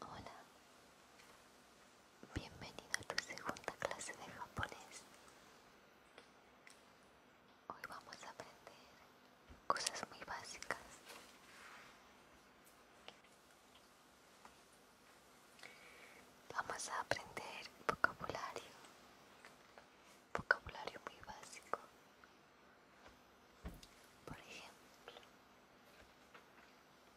Hola, bienvenido a tu segunda clase de japonés. Hoy vamos a aprender cosas muy básicas. Vamos a aprender vocabulario, vocabulario muy básico. Por ejemplo,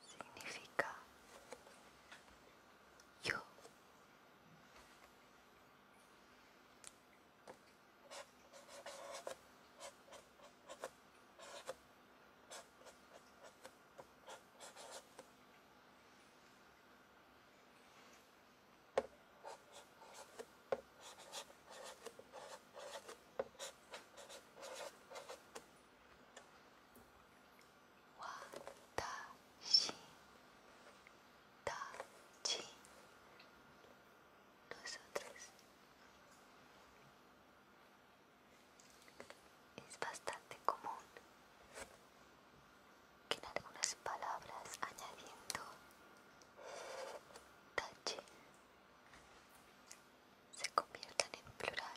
significa yo. Watashi Nosotros Es bastante común que en algunas palabras añadiendo Tachi se conviertan en plural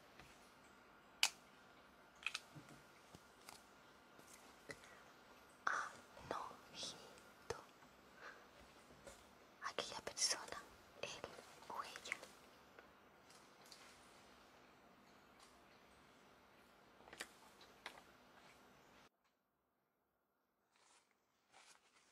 Anojito. Aquella persona, él o ella.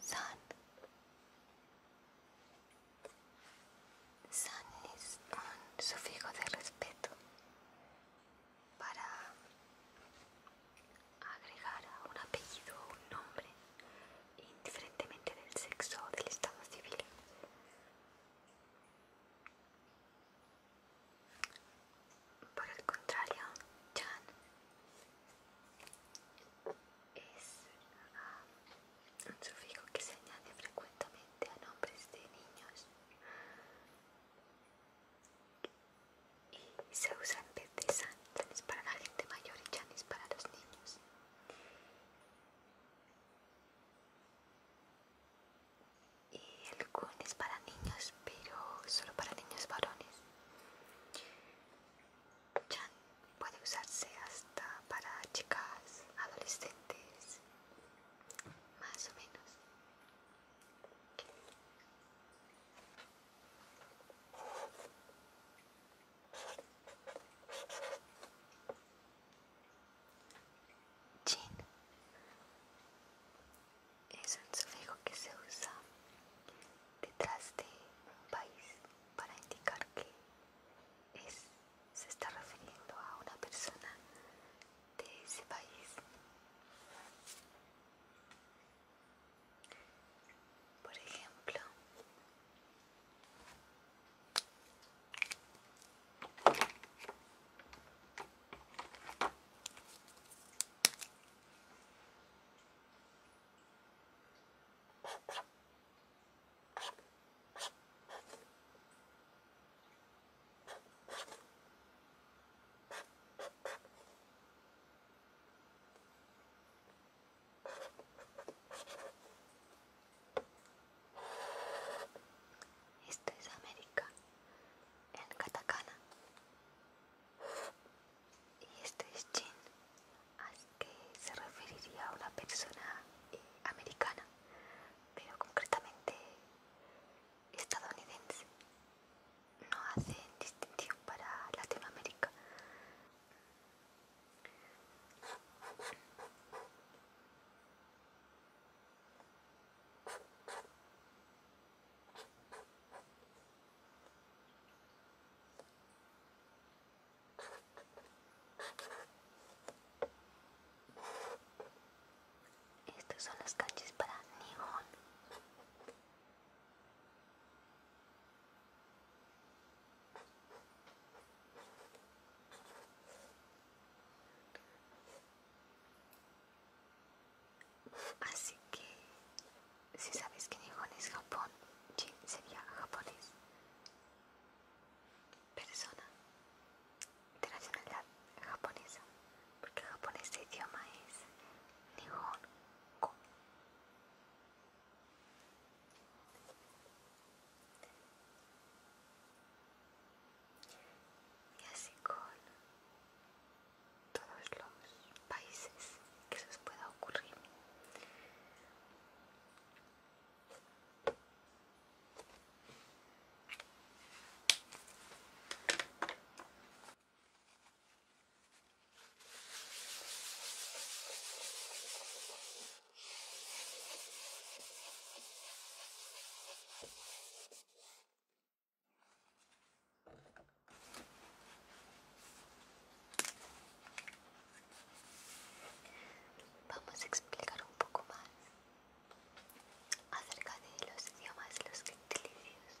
San San es un sufijo de respeto para agregar a un apellido o un nombre indiferentemente del sexo o del estado civil por el contrario, Chan es ah, un sufijo que se añade frecuentemente a nombres de niños y se usa en vez San. es para la gente mayor y Chan es para los niños. Y el Kun es para niños, pero solo para niños varones. Chan puede usarse hasta para chicas adolescentes, más o menos es un sufijo que se usa detrás de un país para indicar que es, se está refiriendo a una persona de ese país. Por ejemplo, esto es América en katakana y este es chin, al que se referiría a una persona eh, americana, pero concretamente estadounidense. No hacen distinción para Latinoamérica. Estos son los calles para Nihon. Así que si sabes que Nihon es Japón, Jin sería japonés. Persona de nacionalidad japonesa, porque el japonés de idioma es Nihon Y así con todos los países que se pueda ocurrir Vamos a explicar un poco más acerca de los idiomas, los gentilicios.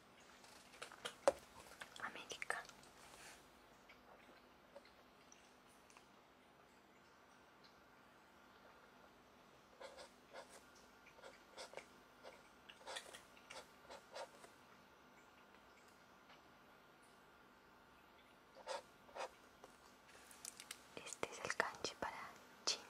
América. Este es el gancho para china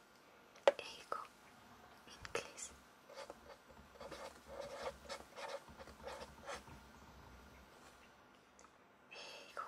Eigo Inglés Eigo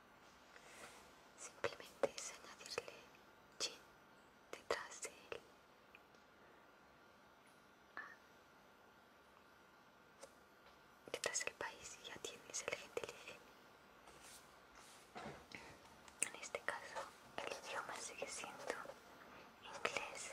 Simplemente es añadirle chin detrás Detrás ah. del país y ya tienes el gentilicio. En este caso, el idioma sigue siendo inglés.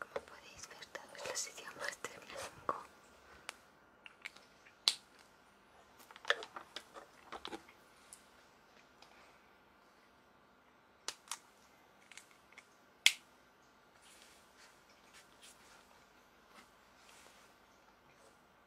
Como podéis ver todos los idiomas del blanco.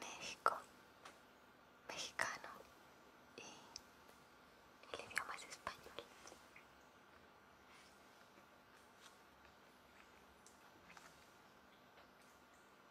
México, mexicano y el idioma es español.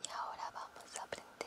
Y ahora vamos a aprender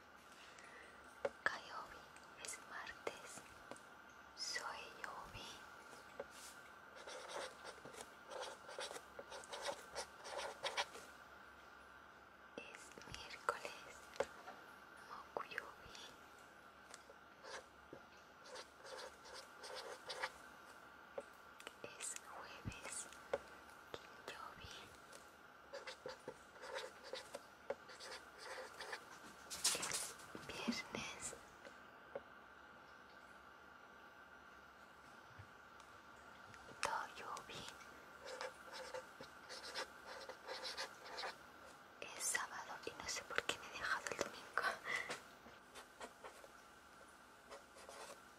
Kayobi es martes. Soy Yobi. Es miércoles. Mokuyobi. Es jueves. vi viernes. vi Es sábado y no sé por qué me he dejado el domingo.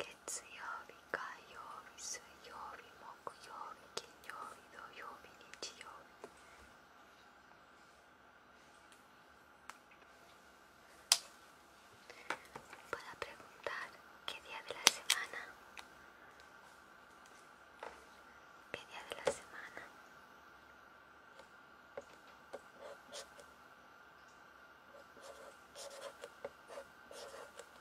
Ketsyori, Kayori, Ksyori, Mocoyori, Kenyori, Doyori, Nichiyori. Para preguntar, ¿qué día de la semana? ¿Qué día de la semana?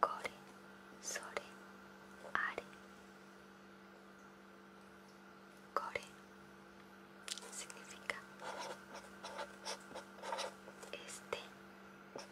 Core, sore, are. Core significa este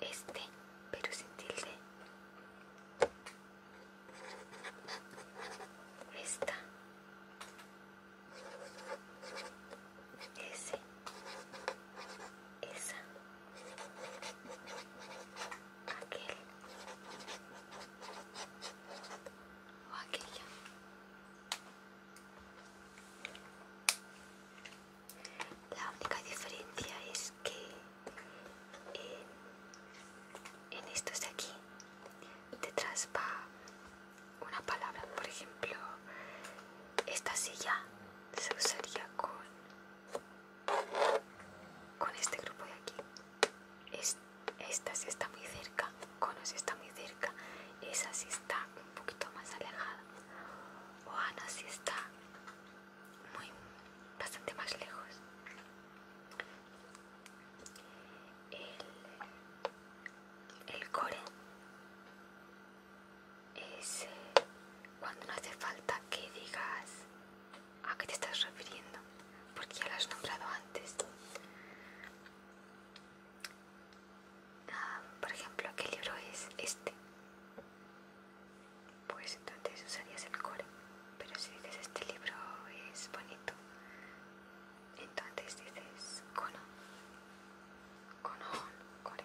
este, pero sin tilde. Esta. Ese. Esa. Aquel. O aquella. La única diferencia es que eh, en estos de aquí detrás va una palabra, por ejemplo, esta silla se usaría con, con este grupo de aquí. esta sí está muy cerca cono si está muy cerca, esa sí está un poquito más alejada. O Ana sí está muy, bastante más lejos. El, core es eh, cuando no hace falta que digas a qué te estás refiriendo, porque ya lo has nombrado antes ah, por ejemplo, ¿qué libro es este? Pues entonces usarías el core. Pero si dices este libro es bonito, entonces dices cono. Cono, core.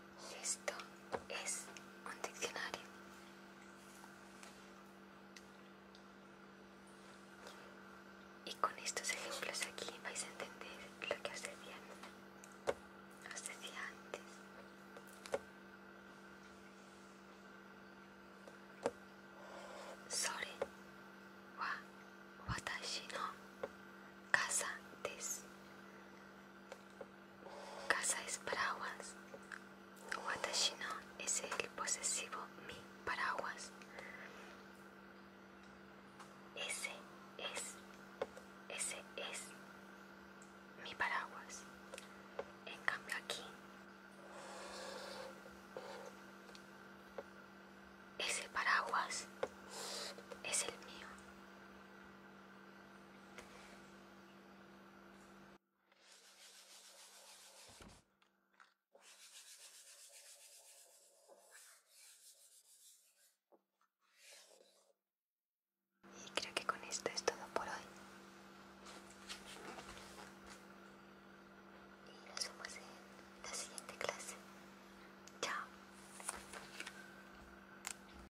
esto es un diccionario. Y con estos ejemplos aquí vais a entender lo que os decía, os decía antes. Sore wa watashi no kasa Casa es paraguas. Watashi no es el posesivo mi paraguas. Ese es, ese es mi paraguas. En cambio aquí, ese paraguas es el mío. Y creo que con esto es todo por hoy. Y nos vemos en la siguiente clase. Chao.